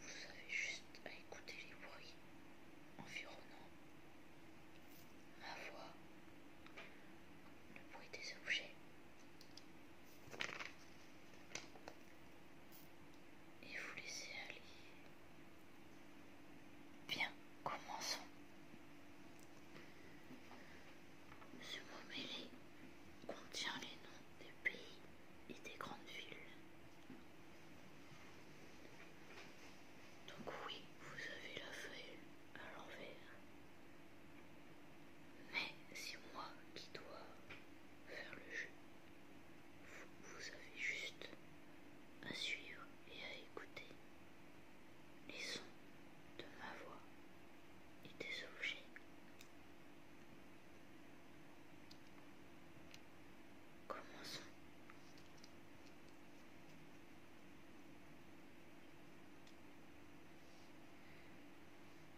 Vous avez juste à écouter les bruits environnants. Ma voix, le bruit des objets. Et vous laissez aller. Bien, commençons. Ce mot mêlé contient les noms des pays et des grandes villes. Donc oui, vous avez la feuille à l'envers. Mais c'est moi qui dois faire le jeu. Vous, avez juste à suivre et à écouter les sons de ma voix et des objets Commençons.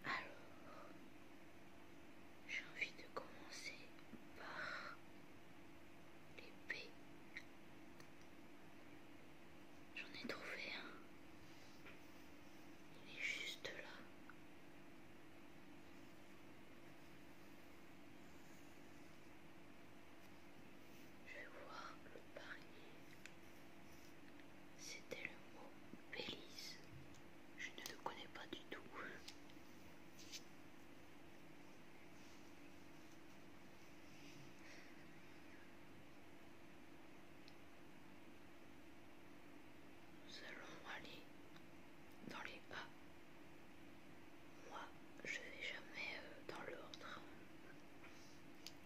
Alors, j'ai envie de commencer par l'épée. J'en ai trouvé un. Il est juste là. Je vais voir le panier. C'était le mot Belize. Je ne le connais pas du tout. Nous allons aller dans les bas Moi, je vais jamais euh, dans l'ordre.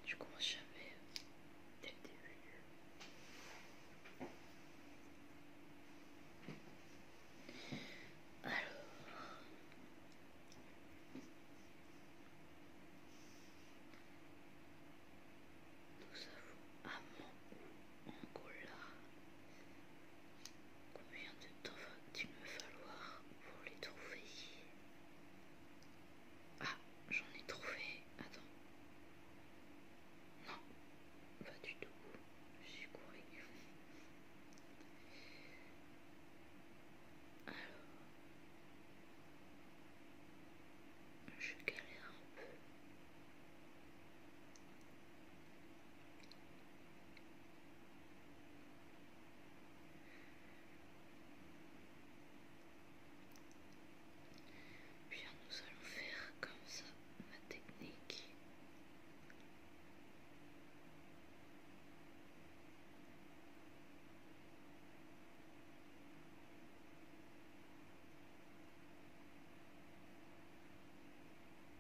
Je commence jamais euh, dès le début. Alors. Nous avons en Angola, Combien de temps va-t-il me falloir pour les trouver Ah, j'en ai trouvé. Attends. Non, pas du tout. Je suis couru. Alors, je galère un peu. Bien, nous allons faire comme ça ma technique.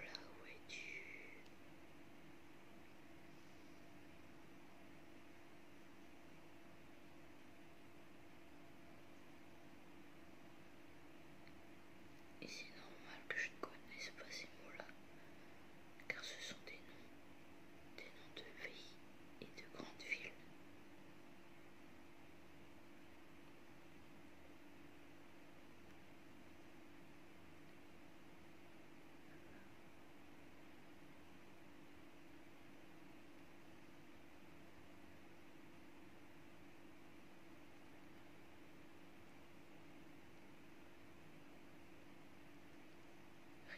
là où es-tu et c'est normal que je ne connaisse pas ces mots-là car ce sont des noms, des noms de pays et de grandes villes.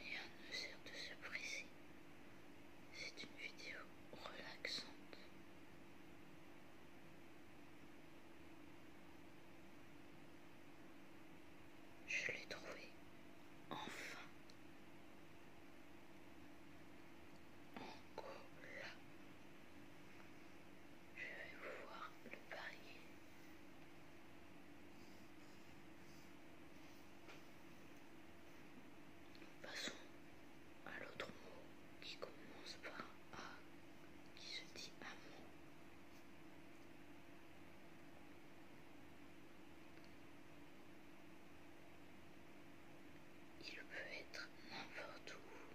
Rien ne sert de se presser. C'est une vidéo relaxante. Je l'ai trouvé. Enfin. en là, Je vais vous voir le parier. Passons à l'autre mot qui commence par A, qui se dit amour. Il peut être n'importe où.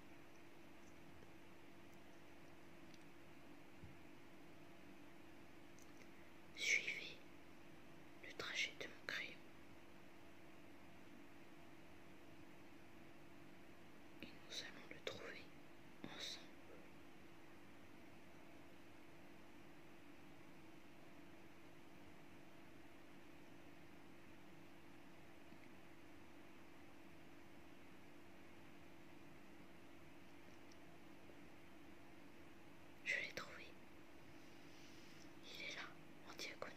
Suivez le trajet de mon crayon. Et nous allons le trouver ensemble. Je l'ai trouvé. Il est là, en diagonale.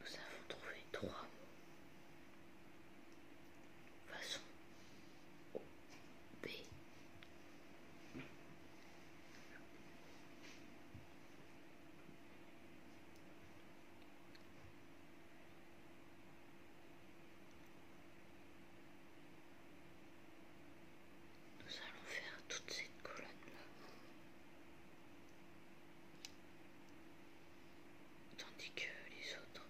Nous avons trouvé trois mots. Façon O, B nous allons faire toute cette colonne là tandis que les autres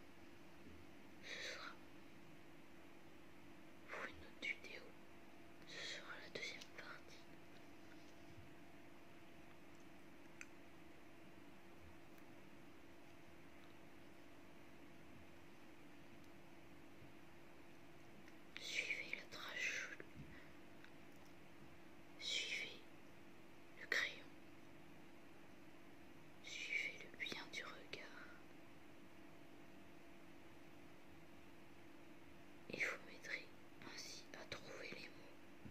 ce sera pour une autre vidéo ce sera la deuxième partie Suivez le traje Suivez le crayon. Suivez-le bien du regard. Il vous m'aider ainsi à trouver les mots.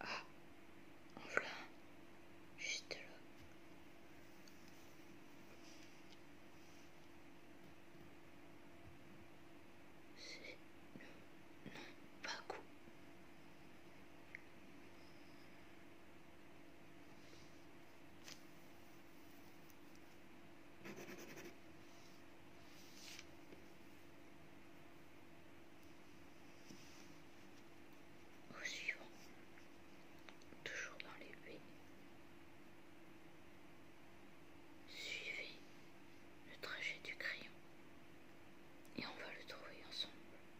Ah, en voilà juste là. C'est non, pas coup. Au suivant, toujours dans les buis, suivez le trajet du crayon et on va le trouver ensemble.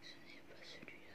ce n'est pas celui-là.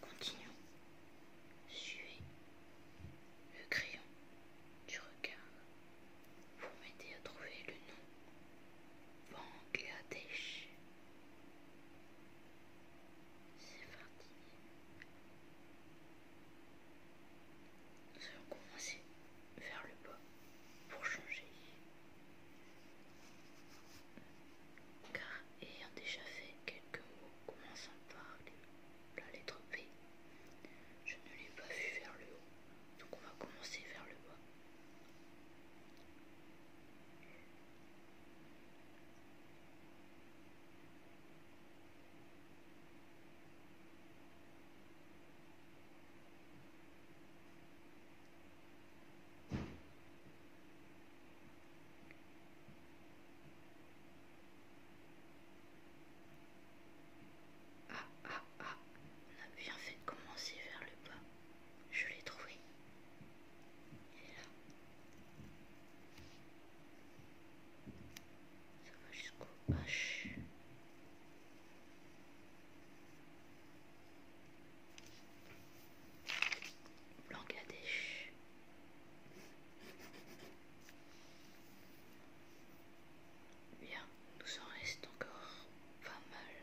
Continuons. Suivez le crayon du regard pour m'aider à trouver le nom. Bangladesh. C'est parti. Nous allons commencer vers le bas pour changer. Car ayant déjà fait quelques mots commençant par la lettre P, je ne l'ai pas vu vers le haut. Donc on va commencer vers le bas. Ah ah ah, on a bien fait de commencer vers le bas. Je l'ai trouvé. là ça va jusqu'au H. Bangladesh. Bien, nous en reste encore pas mal.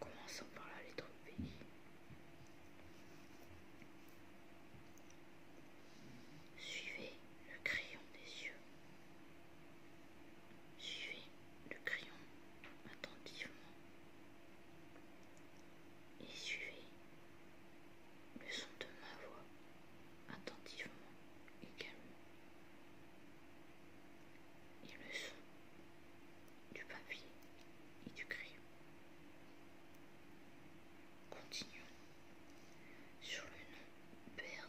Commençons par la lettre B. Suivez le crayon des yeux. Suivez le crayon attentivement. Et suivez le son de ma voix attentivement également. Et le son du papier et du crayon. Continuons sur le nom Berne.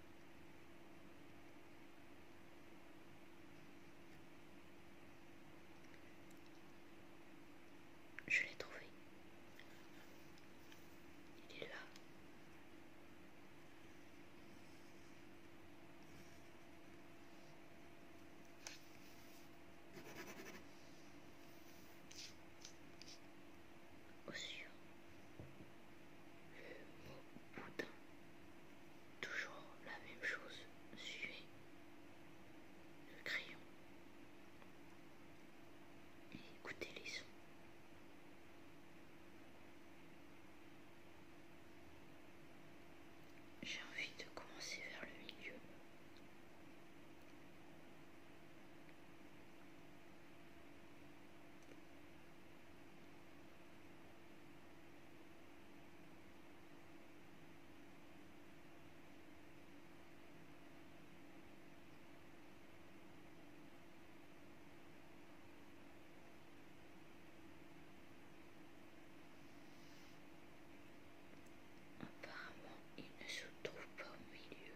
Je l'ai trouvé. Il est là sur Le mot boudin. Toujours la même chose. Suer. Le crayon. Et écoutez les sons. J'ai envie de commencer vers le milieu. Apparemment, il ne se trouve pas au milieu.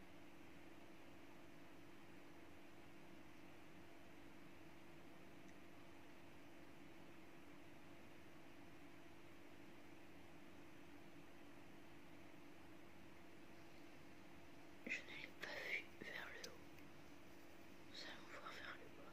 Je n'ai pas vu vers le haut. Nous allons voir vers le bas.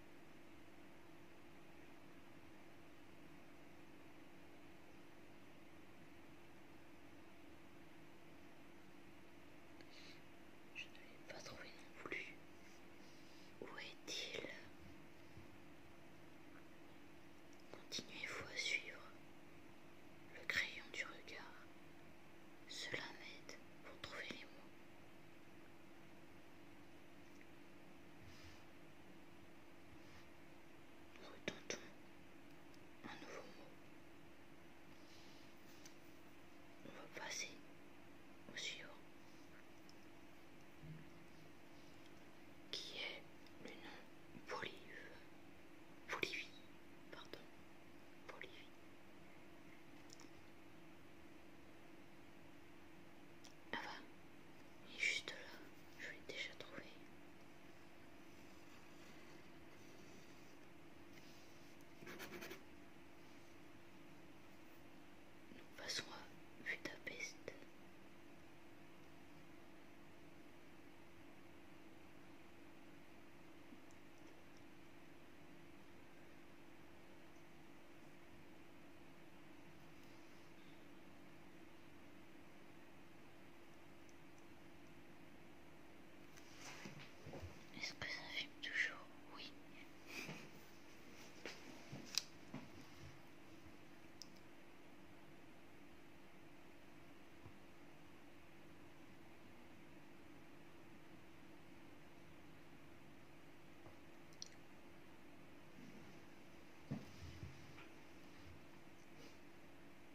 Je ne l'ai pas trouvé non plus. Où est-il Continuez-vous à suivre le crayon du regard. Cela m'aide pour trouver les mots. Nous un nouveau mot. On va passer au suivant. Qui est le nom Bolivie Bolivie, pardon. Bolivie. Ah bah, il est juste là, je l'ai déjà trouvé. Nous passons à Budapest. Est-ce que ça fume toujours Oui.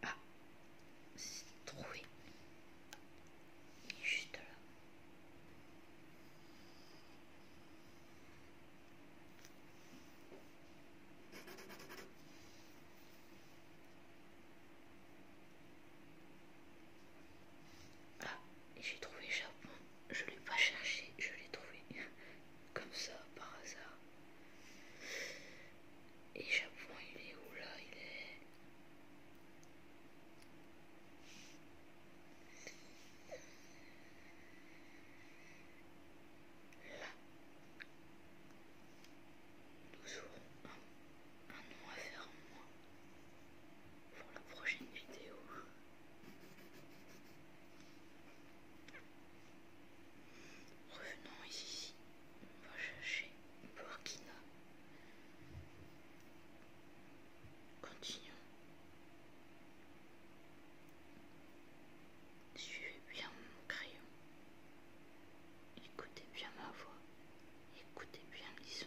Ah, c'est troué. Il juste là. Ah, j'ai trouvé Japon. Je l'ai pas cherché, je l'ai trouvé comme ça par hasard. Et Japon, il est où là Il est là. Nous aurons un, nom à faire pour la prochaine vidéo. Revenons ici. On va chercher Burkina. Continuons. Suivez bien mon crayon. Écoutez bien ma voix. Écoutez bien les sons.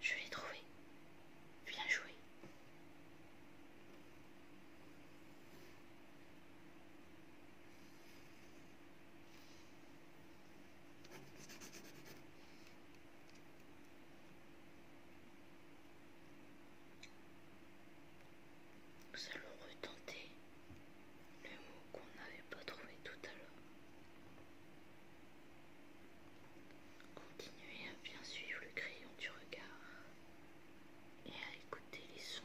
Je l'ai trouvé. Bien joué. Nous allons retenter le mot qu'on n'avait pas trouvé tout à l'heure. Continuez à bien suivre le crayon du regard et à écouter les sons.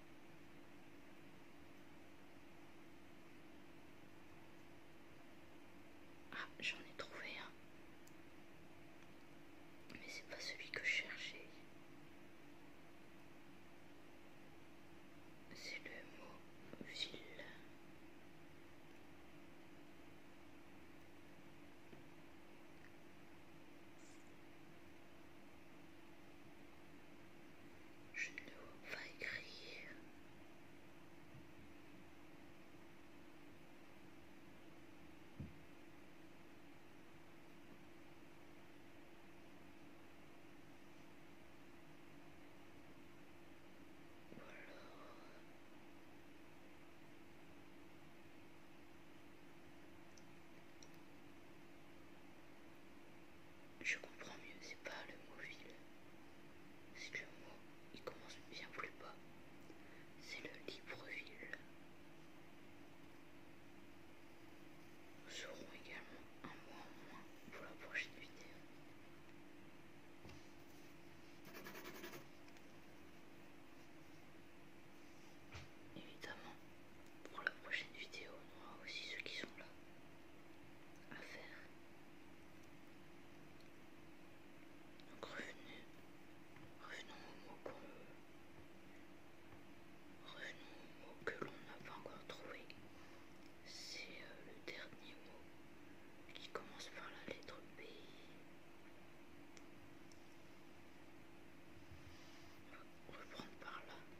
Ah, j'en ai trouvé un. Mais c'est pas celui que je cherchais. C'est le mot ville. Je ne vais pas écrire. Je comprends mieux, c'est pas le mot ville. C'est le mot, il commence bien plus bas. C'est le « libre-ville ». Nous aurons également un mot en moins pour la prochaine vidéo. Évidemment, pour la prochaine vidéo, on aura aussi ceux qui sont là à faire. Donc revenons au mot que l'on n'a pas encore trouvé. C'est euh, le dernier mot qui commence par la lettre B. On va reprendre par là.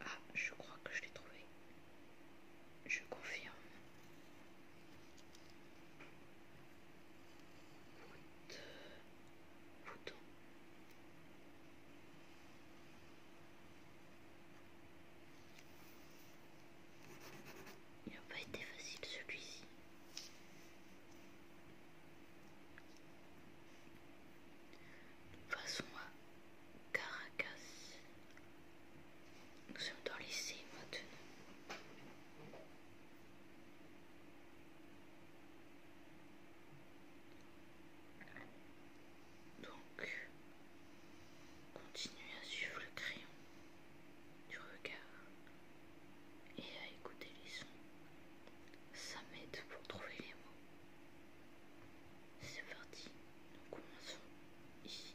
Ah, je crois que je l'ai trouvé. Je confirme. Il n'a pas été facile celui-ci. Passons à Caracas. Nous sommes dans l'essai maintenant. Donc, continuez à suivre le crayon du regard et à écouter les sons. Ça m'aide pour trouver les mots. C'est parti, nous commençons ici.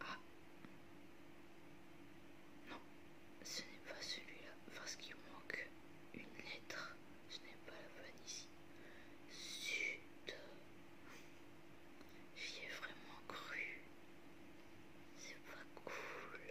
Ah non, ce n'est pas celui-là parce qu'il manque une lettre. Ce n'est pas la bonne ici. Sud. J'y ai vraiment cru. C'est pas cool.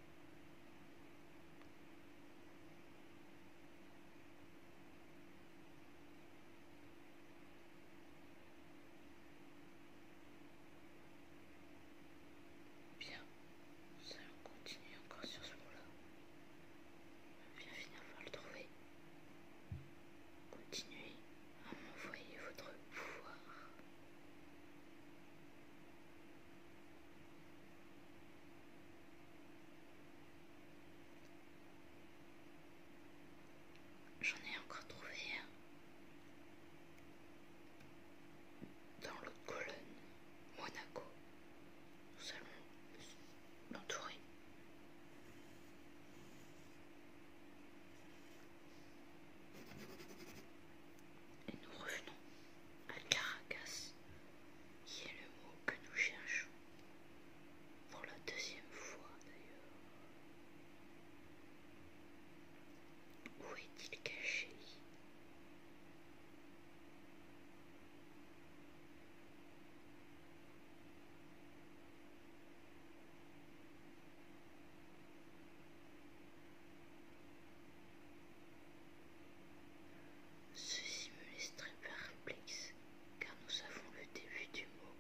Bien, nous allons continuer encore sur ce mot-là. Bien finir par le trouver. Continuez à m'envoyer votre pouvoir. J'en ai encore trouvé un dans l'autre colonne, Monaco. Nous allons l'entourer. Et nous revenons à Caracas, qui est le mot que nous cherchons. Pour la deuxième fois d'ailleurs. Où est-il caché Ceci me laisse très perplexe, car nous savons le début du mot,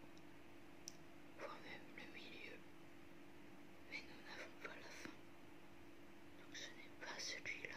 voire même le milieu, mais nous n'avons pas la fin. Donc ce n'est pas celui-là.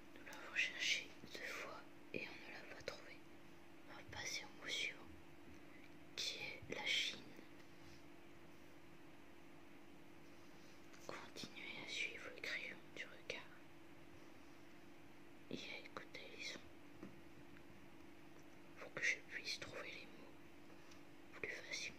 Nous l'avons cherché deux fois et on ne l'a pas trouvé. On va passer au mot suivant, qui est la Chine. Continuez à suivre le crayon du regard et à écouter les sons pour que je puisse trouver les mots plus facilement.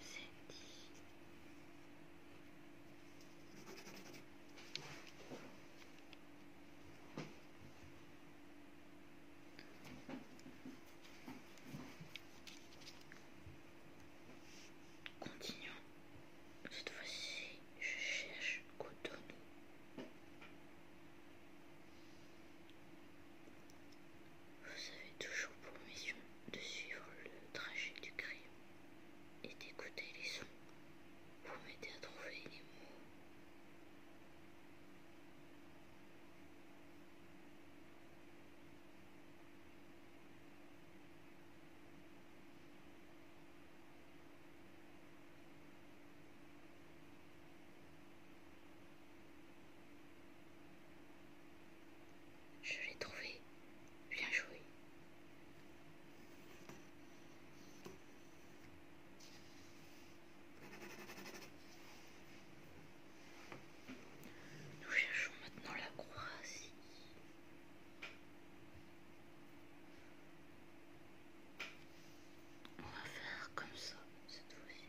c'est dit. Continuons. Cette fois-ci, je cherche coton vous avez toujours pour mission de suivre le trajet du crime et d'écouter les sons pour m'aider à trouver les mots. Je l'ai trouvé. Bien joué. Nous cherchons maintenant la Croatie. On va faire comme ça cette fois-ci.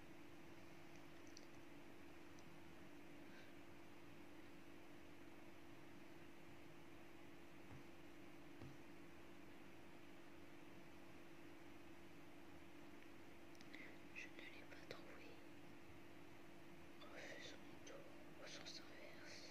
Je ne l'ai pas trouvé. Refusons mon tour au sens inverse.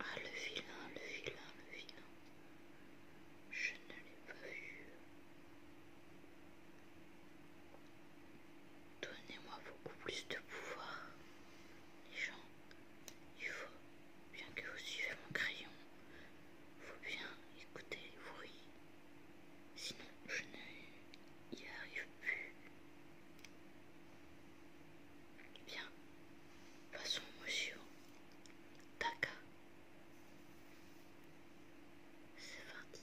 Ah le vilain, le vilain, le vilain. Je ne l'ai pas vu. Donnez-moi beaucoup plus de pouvoir. Les gens, il faut bien que vous suivez mon crayon. Faut bien écouter les bruits. Sinon, je n'y arrive plus. Bien, passons, monsieur. Taka. C'est parti.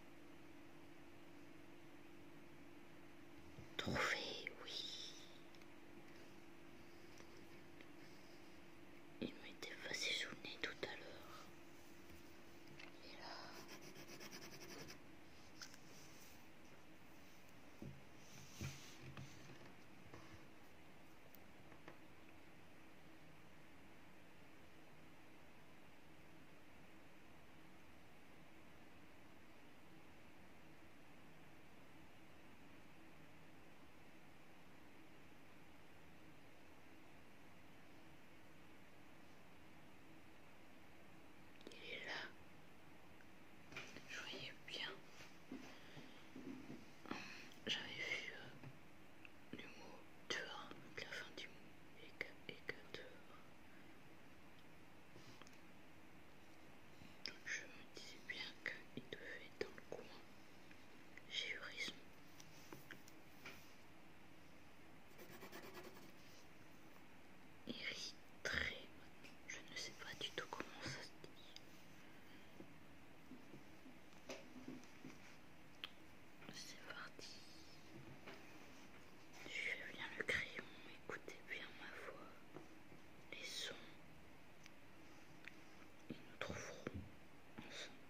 Trouver, oui. Il m'était passé sous le nez tout à l'heure. Et là. Il est là. je voyais bien. J'avais vu euh, le mot "tu" la fin du mot éca, je me disais bien qu'il devait être dans le coin. J'ai eu je ne sais pas du tout comment ça se dit. C'est parti. Je viens le crayon, écoutez bien ma voix, les sons, et nous trouveront ensemble.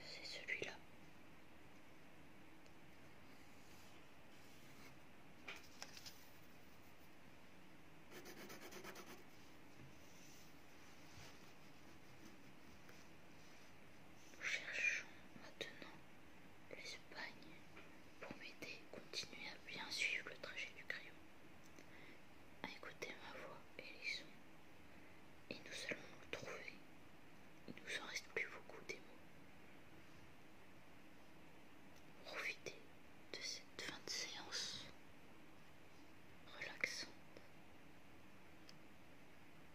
C'est celui-là. Nous Cherchons maintenant l'Espagne pour m'aider à continuer à bien suivre le trajet du crayon, à écouter ma voix et les sons, et nous allons nous trouver. Il nous en reste plus beaucoup des mots. Profitez de cette fin de séance relaxante.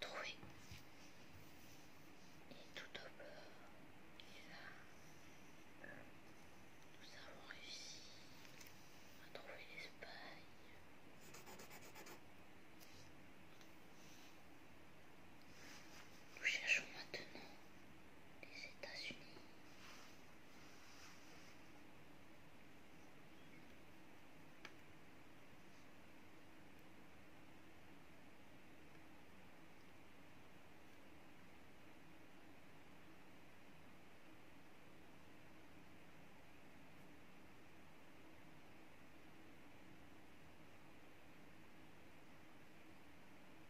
Troué. Et tout au bord, il nous avons réussi à trouver l'Espagne. Nous cherchons maintenant les États-Unis.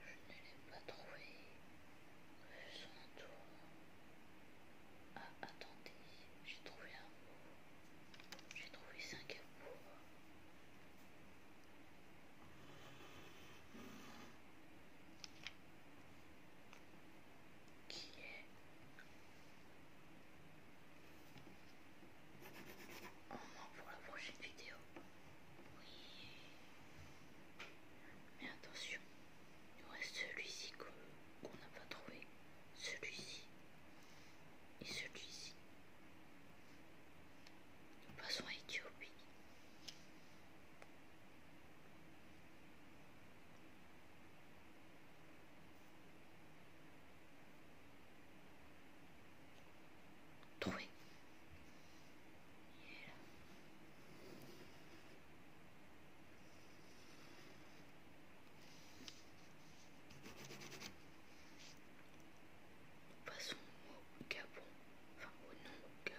Je ne l'ai pas trouvé. son tour. Ah, attendez, j'ai trouvé un mot. J'ai trouvé Singapour qui est en pour la prochaine vidéo. Oui. Mais attention, il nous reste celui-ci qu'on n'a pas trouvé. Celui-ci et celui-ci. Nous passons à Éthiopie. Trouvé. Passons au Gabon, enfin au nom Gabon.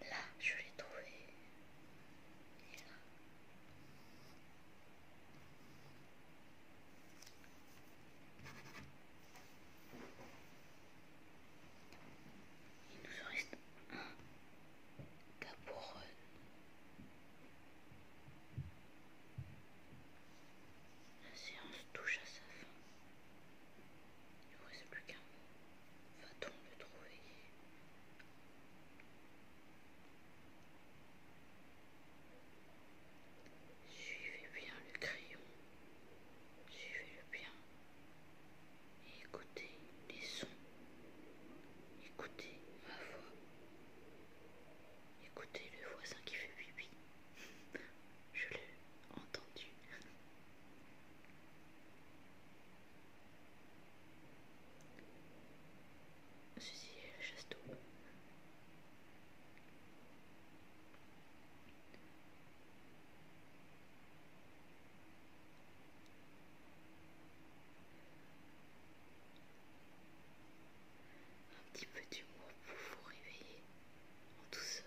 Là, je l'ai trouvé. Il nous reste un. capuchon. La séance touche à sa fin. Il ne reste plus qu'un Va-t-on le trouver Suivez bien le crayon. Suivez-le bien. écoutez les sons. Écoutez ma voix. Écoutez le voisin qui fait pipi, Je l'ai entendu. Ceci Un petit peu d'humour pour vous réveiller en douceur.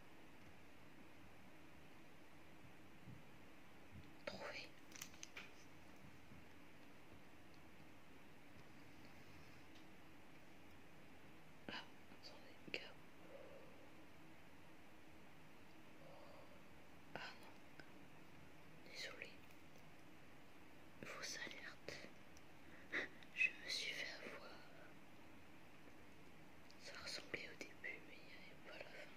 Trouvez. Ah, attendez, gars. Oh. Ah non, désolé. Fausse alerte. Je me suis fait avoir. Ça ressemblait au début, mais il n'y avait pas la fin.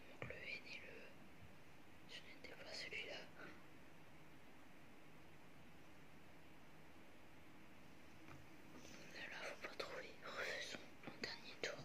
Il manque le N et le Je e, n'étais pas celui-là. Ne faut pas trouver. Refaisons mon dernier tour.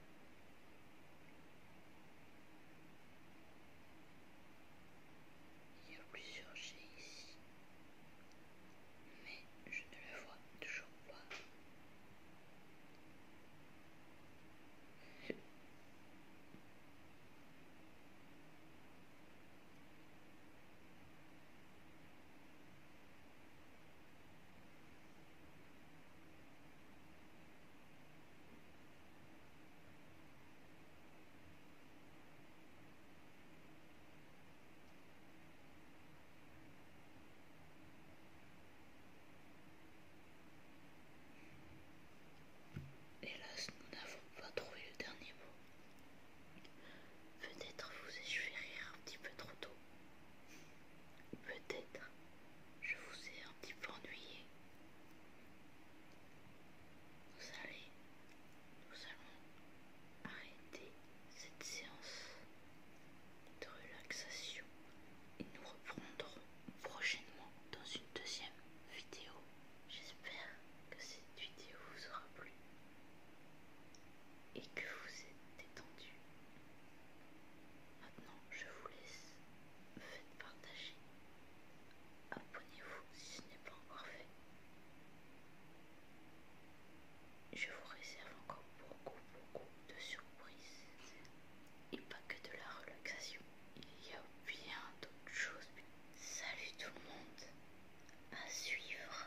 Il y a plusieurs G ici, mais je ne le vois toujours pas. Hélas, nous n'avons pas trouvé le dernier mot. Peut-être vous ai-je rire un petit peu trop tôt. Peut-être je vous ai petit Vous allez, nous allons arrêter cette séance de relaxation et nous reprendrons prochainement dans une deuxième vidéo. J'espère que cette vidéo vous aura plu et que vous êtes détendu. Maintenant, je vous laisse. Faites partager. Abonnez-vous si ce n'est pas encore fait. Je vous réserve encore beaucoup, beaucoup de surprises. Et pas que de la relaxation. Il y a bien d'autres choses. Salut tout le monde. À suivre.